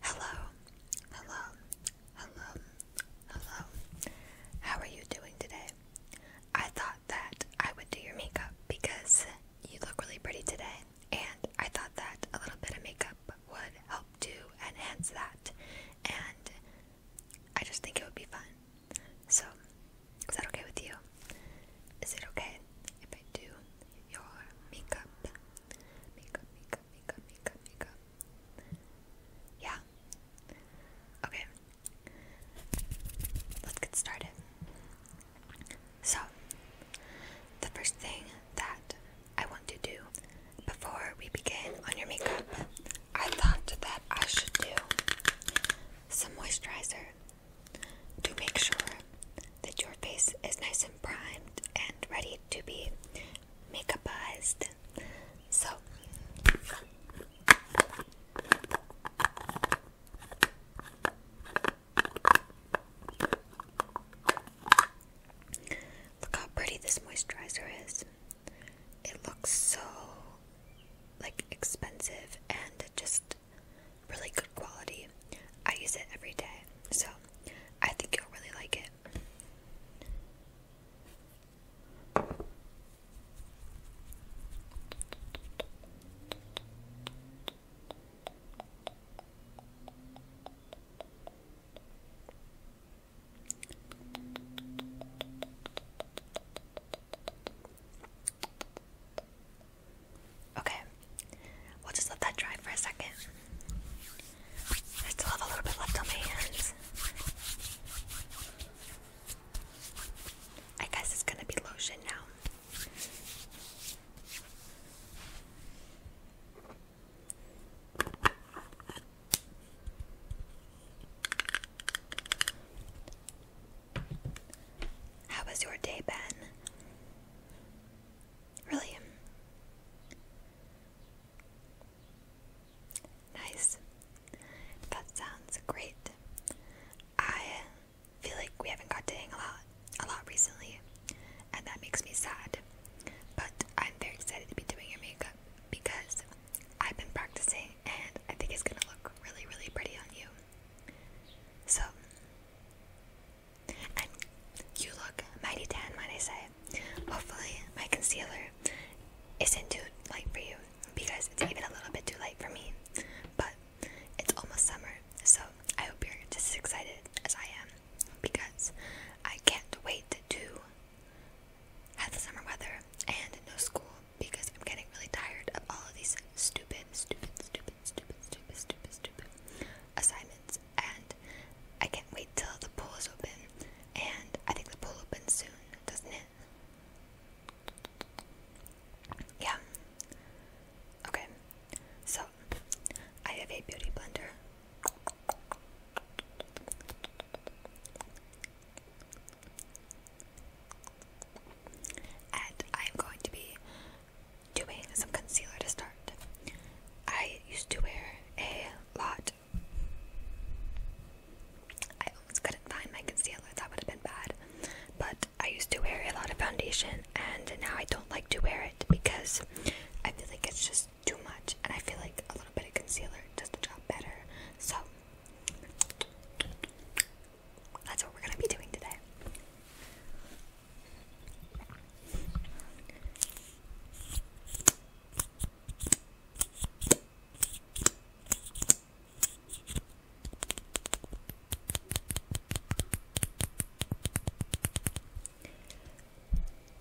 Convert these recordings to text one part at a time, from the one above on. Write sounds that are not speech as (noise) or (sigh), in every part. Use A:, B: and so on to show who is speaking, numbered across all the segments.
A: Hello, hello, hello, hello. How are you doing today? I thought that I would do your makeup because you look really pretty today, and I thought that a little bit of makeup would help to enhance that, and I just think it would be fun. So, is that okay with you? Is it okay if I do your makeup? Makeup, makeup, makeup, makeup, makeup, Yeah. Okay. Let's get started. So, the first thing that I want to do before we begin on your makeup, I thought that I should do some moisturizer to make sure that your face is nice and primed and ready to be makeupized. So, look how pretty this moisturizer is. It looks so like expensive and just really good quality. I use it every day. So, I think you'll really like it. Okay, we'll just let that dry for a second. I still have a little bit left on my hands. I guess it's gonna be lotion now. How was your day, Ben? Really nice. That sounds great. I feel like we haven't got to hang a lot, a lot recently, and that makes me sad. But I'm very excited to be doing your makeup because I've been practicing, and I think it's gonna look really, really pretty on you. So and you look mighty tan, might I say. Hopefully, my concealer isn't too light for you because it's even a little bit too light for me. But it's almost summer, so I hope you're just as excited as I am because I can't wait to have the summer weather and no school because I'm getting really tired of all of these stupid, stupid, stupid, stupid, stupid, stupid, stupid assignments, and I can't wait till the pool is open. And I think the pool opens soon, doesn't it? Yeah. Okay, so I have a beauty blender. And I'm going to be doing some concealer to start. I used to wear a lot. I almost couldn't find my concealer, that would have been bad. But I used to wear a lot of foundation, and now I don't like to wear it because I feel like it's just too much, and I feel like a little bit of concealer does the job better. So, that's what we're gonna be doing today.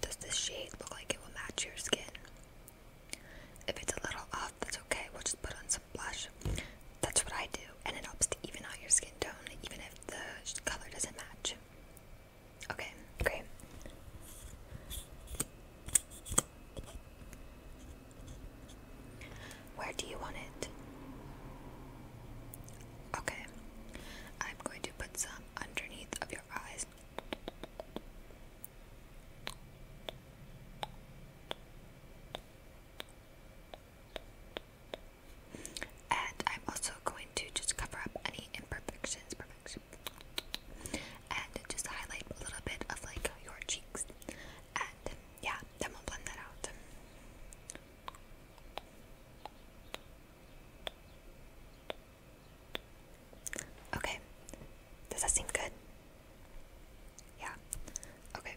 A: Does this shade look like it will match your skin? If it's a little off, that's okay. We'll just put on some blush. That's what I do and it helps to even out your skin tone, even if the color doesn't match. Okay, great. Where do you want it? Okay, I'm going to put some underneath of your eyes. And I'm also going to just cover up any imperfections, perfections, and just highlight a little bit of like your cheeks. And yeah, then we'll blend that out. Okay, does that seem good? Yeah, okay,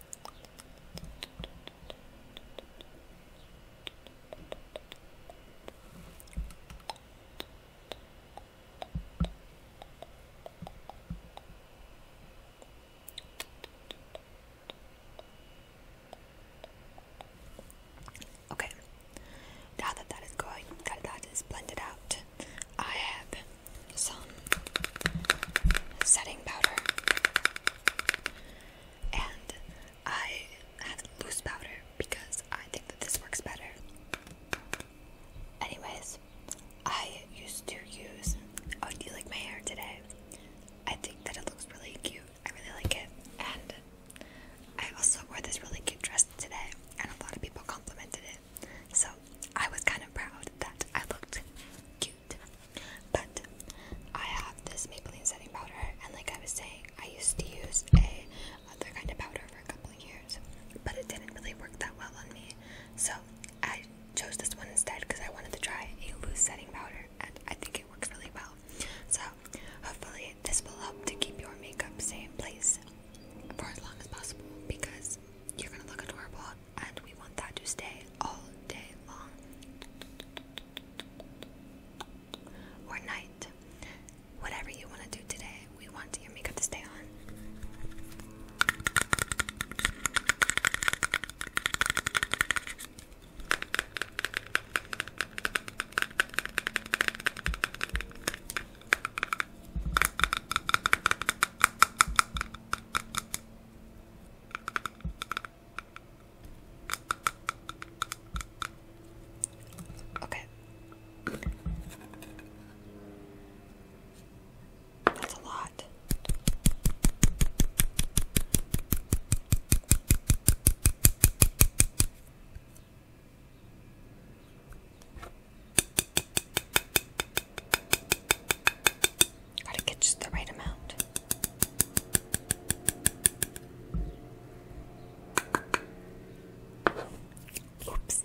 A: Okay, now that that is going, that that is blended out, I have some setting powder, and I have loose powder because I think that this works better. Anyways, I used to use. Oh, do you like my hair today? I think that it looks really cute. I really like it, and I also wore this really cute dress today, and a lot of people complimented it. So I was kind of proud that I looked cute but I have this Maybelline setting powder, and like I was saying, I used to use a other kind of powder for a couple of years, but it didn't really work that well on me. So I chose this one instead because I wanted to try a loose setting powder, and I think it works really well. So hopefully this will help to keep your makeup staying place for as long as possible because you're gonna look adorable and we want that to stay all day long or night. Whatever you want to do today, we want your makeup to stay on. Okay. That's a lot. Gotta get just the right amount. Oops.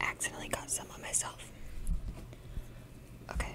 A: I accidentally got some on myself. Okay.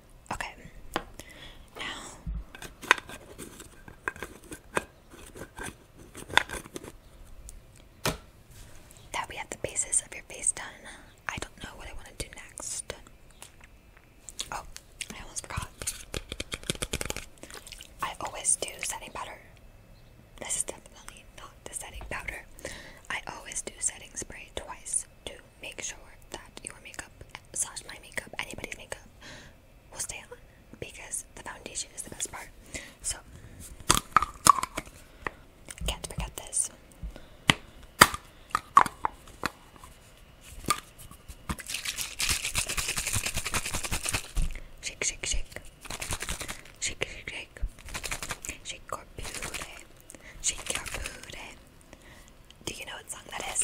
A: Okay. Now that we have the bases of your face done, I don't know what I want to do next. Oh, I almost forgot. I always do setting powder. This is definitely not the setting powder. I always do setting spray twice to make sure that your makeup slash my makeup, anybody's makeup, will stay on because the foundation is the best part. So can't forget this. Shake, shake, shake. Shake, shake, shake. Shake your booty. Shake your booty. Do you know what song that is?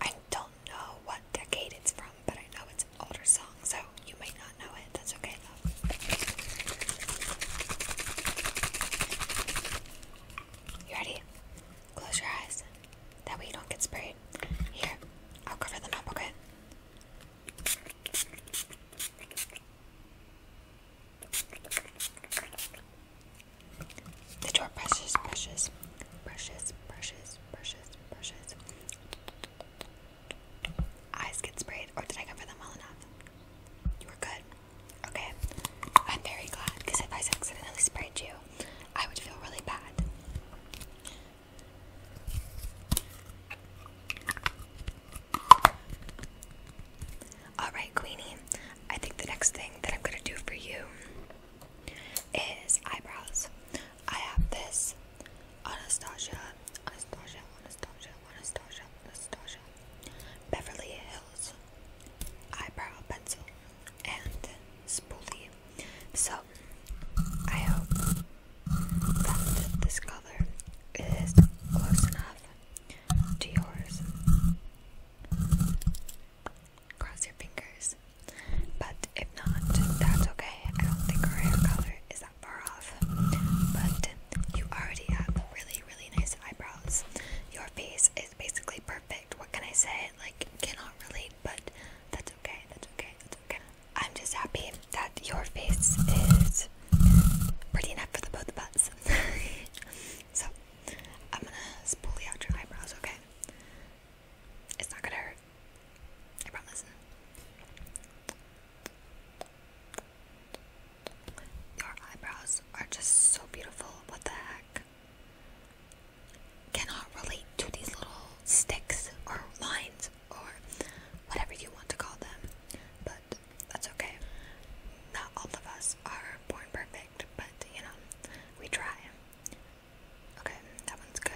A: I don't know what decade it's from, but I know it's an older song, so you might not know it. That's okay You ready? Close your eyes. That way you don't get sprayed. Here, I'll cover them up, okay? The door brushes, brushes, brushes, brushes, brushes, brushes. Eyes get sprayed, or did I cover them well enough? You were good. Okay, I'm very glad because I accidentally sprayed you, I would feel really bad. Alright, Queenie, I think the next thing that I'm gonna do for you is eyebrows. I have this Anastasia, Anastasia, Anastasia, Anastasia, Anastasia, Beverly Hills eyebrow pencil and spoolie. So, I hope that this color is close enough to yours. Cross your fingers. But if not, that's okay. I don't think our hair color is that far off. But you already have really, really nice eyebrows. Your face is basically perfect. What can I say? Like, cannot relate, but that's okay. That's okay. That's okay. I'm just happy that your face is pretty enough for both of us. (laughs) so, I'm gonna spoolie out your eyebrows, okay? It's not gonna hurt. I promise. Your eyebrows are just so beautiful. What the heck? Cannot relate to these little sticks or lines or whatever you want to call them, but that's okay. Not all of us are born perfect but you know, we try. Okay, that one's good.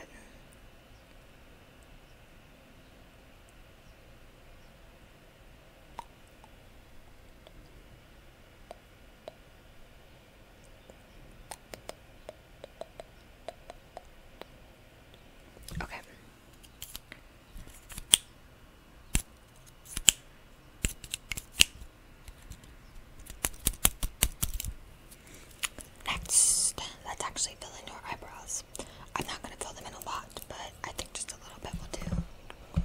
A: Okay. Next, let's actually fill in your eyebrows. I'm not going to fill them in a lot, but I think just a little bit will do.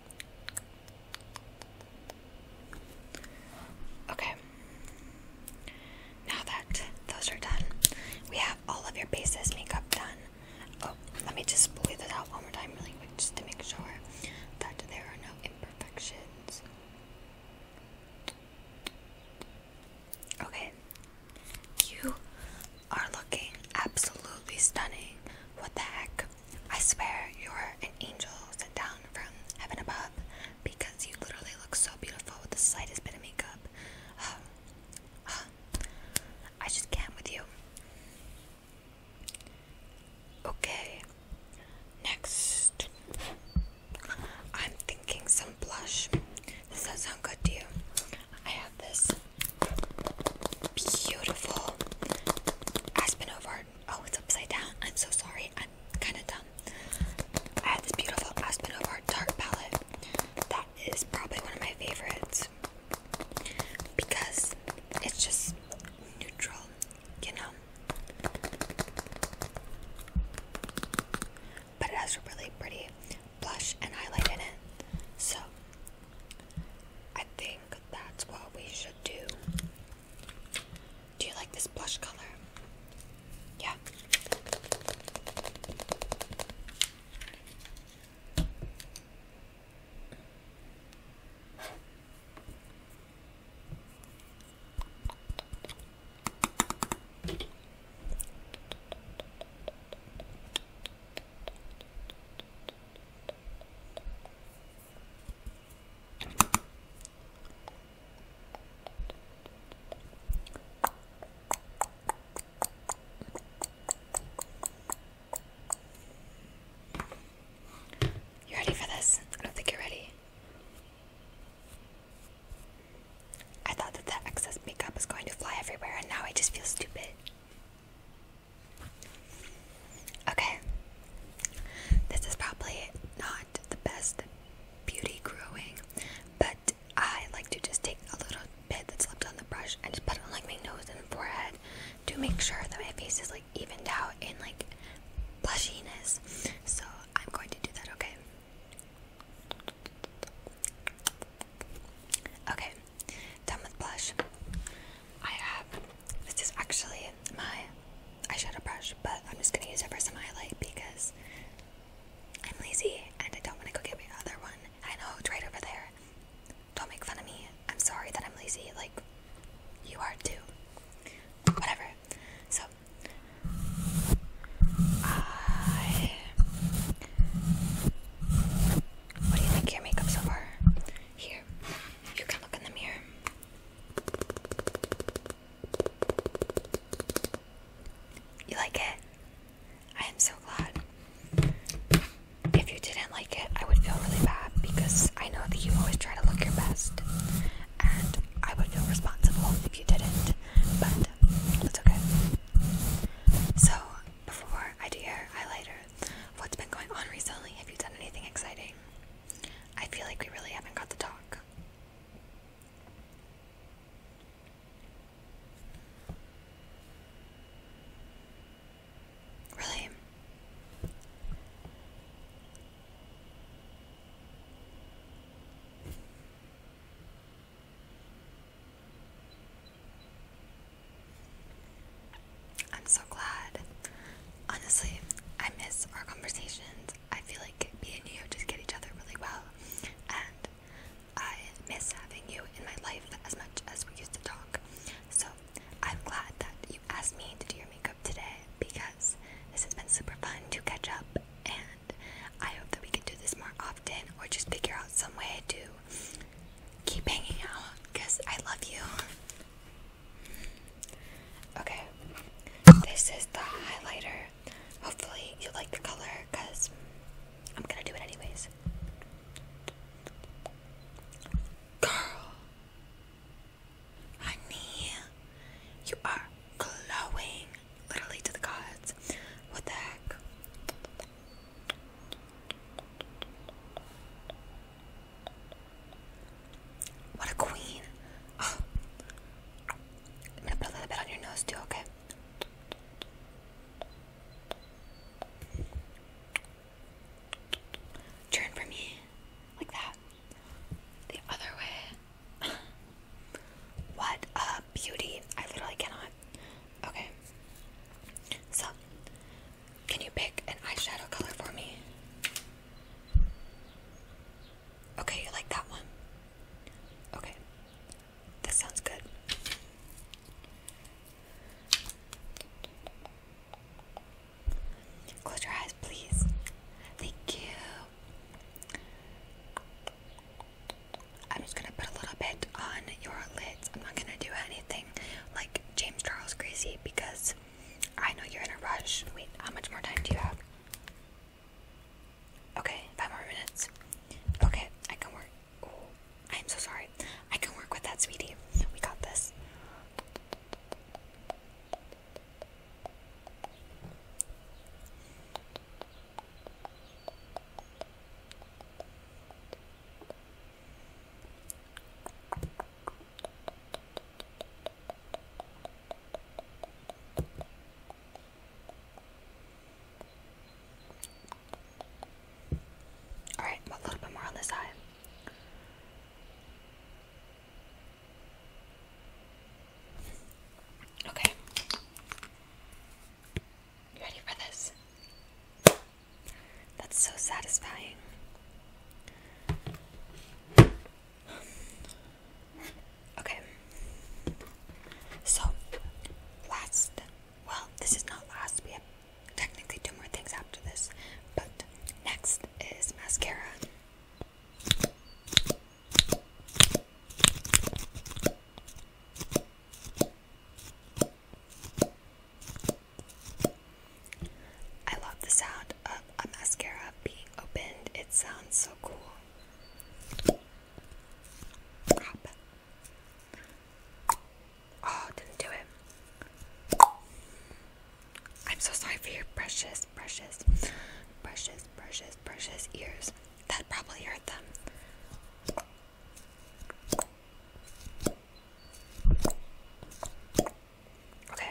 A: Okay. Now that those are done, we have all of your bases makeup done. Oh, let me just bleed this out one more time really quick just to make sure that there are no imperfections. Okay. You are looking absolutely stunning. What the heck? I swear you're an angel sent down from heaven above because you literally look so beautiful with the slightest bit of makeup. Oh, I just can't with you. Okay, next. I'm thinking some blush. Does that sound good to you? I have this beautiful Aspen over Oh, it's upside down. I'm so sorry. I'm kind of dumb. I had this beautiful Aspen Over Dark palette. That is probably one of my favorites because it's just neutral, you know. But it has a really pretty blush and highlight in it. So I think that's what we should do. Do you like this blush color? Yeah. You ready for this? I don't think you're ready. I thought that the excess makeup was going to fly everywhere, and now I just feel stupid. Okay, this is probably not the best beauty growing, but I like to just take a little bit that's left on the brush and just put it on like my nose and forehead to make sure that my face is like evened out in like plushiness. So I'm going to do that, okay? Okay, done with blush. I have this is actually my eyeshadow brush, but I'm just gonna use it for some highlight because I'm lazy and I don't want to go get my other one. I know it's right over there. Don't make fun of me. I'm sorry that I'm lazy. Like you are too. Whatever. So I. What do you think your makeup so far? Here, you can look in the mirror. You like it? I am so glad. If you didn't like it, I would feel really bad because I know that you always try to look your best, and I would feel responsible if you didn't, but that's okay. So, before I do your highlighter, what's been going on recently? Have you done anything exciting? I feel like we really haven't got the talk. Really? I'm so glad. Honestly, I miss our conversations. I feel like me and you just get each other really well, and I miss having you in my life as much as we used to talk. So I'm glad that you asked me to do your makeup today because this has been super fun to catch up, and I hope that we can do this more often or just figure out some way to keep hanging out because I love you. Okay, this is the highlighter. Hopefully, you like the color because I'm gonna do it anyways. Girl, honey, you are glowing literally to the gods. What the heck? What a queen. I'm oh. gonna put a little bit on your nose too, okay? Turn for me. Like that. The other way. (laughs) what a beauty. I literally cannot. Okay. So, can you pick an eyeshadow color for me? Okay, you like that one? Okay, this sounds good. Close your eyes, please. Thank you. I'm just gonna put a little bit on your lids. I'm not gonna do anything like James Charles Gracie because I know you're in a rush. Wait, how much more time do you have? Okay, five more minutes. Okay, I can work. I'm so sorry. I can work with that, sweetie. We got this. All right, a little bit more on this side. Okay. ready for this? That's so satisfying. Okay. So, last. Well, this is not last. We have technically two more things after this. But next is mascara. I love the sound of a mascara being opened. It sounds so cool. Oh, didn't do it. I'm so sorry for your precious, precious, precious, precious, precious ears. That probably hurt them. Okay.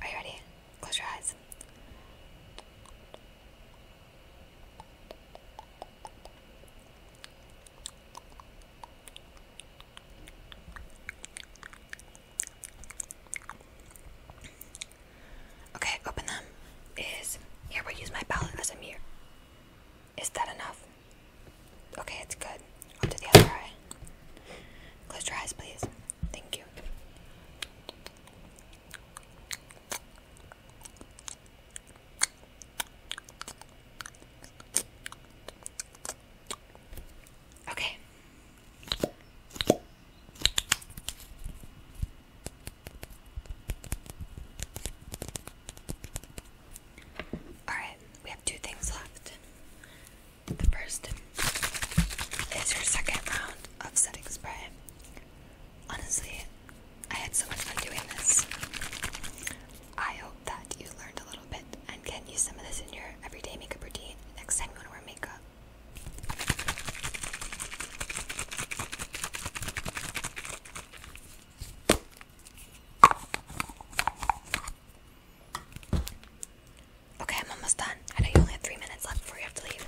A: Are you ready? Close your eyes. Okay, open them. Is here we use my palette as a mirror. Is that enough? Okay, it's good. Up to the other eye. Close your eyes, please. Thank you. Okay. Alright, we have two things left. The first is your second round of setting spray. Honestly, I had so much fun doing this. I hope that you learned a little bit and can use some of this in your everyday makeup routine next time you want to wear makeup. Okay, I'm almost done. I know you only have three minutes left before you have to leave.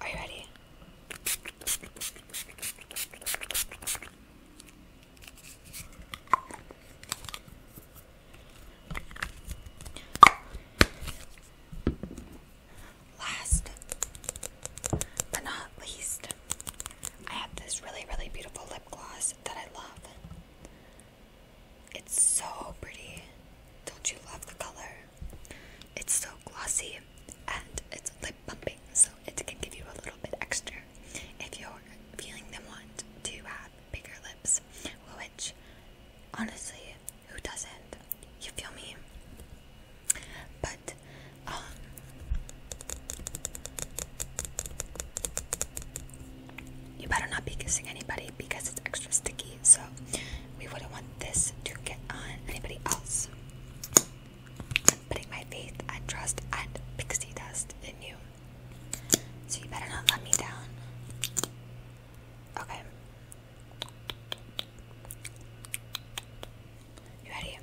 A: Are you ready? Last but not least, I have this really, really beautiful lip gloss that I love. It's so pretty. Don't you love the color? It's so glossy and it's lip bumping, so it can give you a little bit extra if you're feeling the want to have bigger lips, which honestly, who doesn't? You feel me? But um, you better not be kissing anybody because it's extra sticky, so we wouldn't want this to get on anybody else. putting my faith and trust and pixie dust in you. So you better not let me down. Okay. You ready?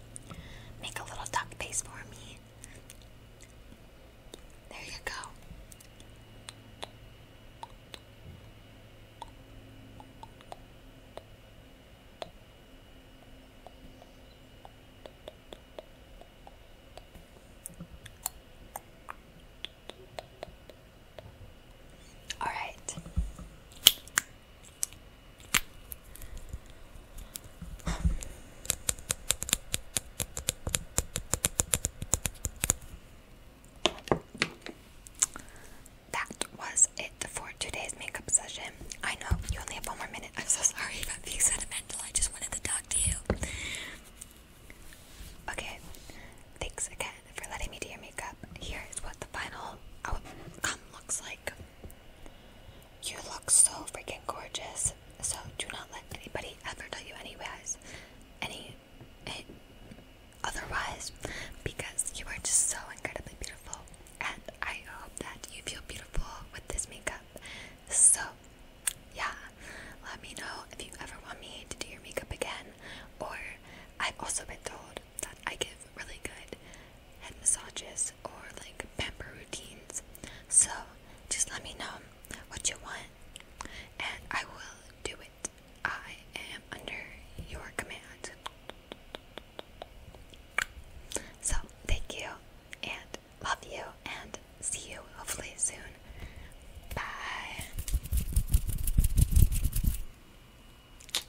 A: Make a little duck face for me. There you go. All right. That was it for today's makeup session. I know you only have one more minute. (laughs) I'm so sorry about being sentimental. I just wanted to talk to you. Okay, thanks again for letting me do your makeup. Here is what the final outcome looks like. You look so freaking gorgeous. So do not let anybody ever tell you anyways, any, any otherwise, because you are just so incredibly beautiful. And I hope that you feel beautiful with this makeup. So, yeah, let me know if you ever want me to do your makeup again. Or I've also been told that I give really good head massages or like pamper routines. So just let me know what you want and I will do it. I am under your command. So thank you and love you and see you hopefully soon. Bye.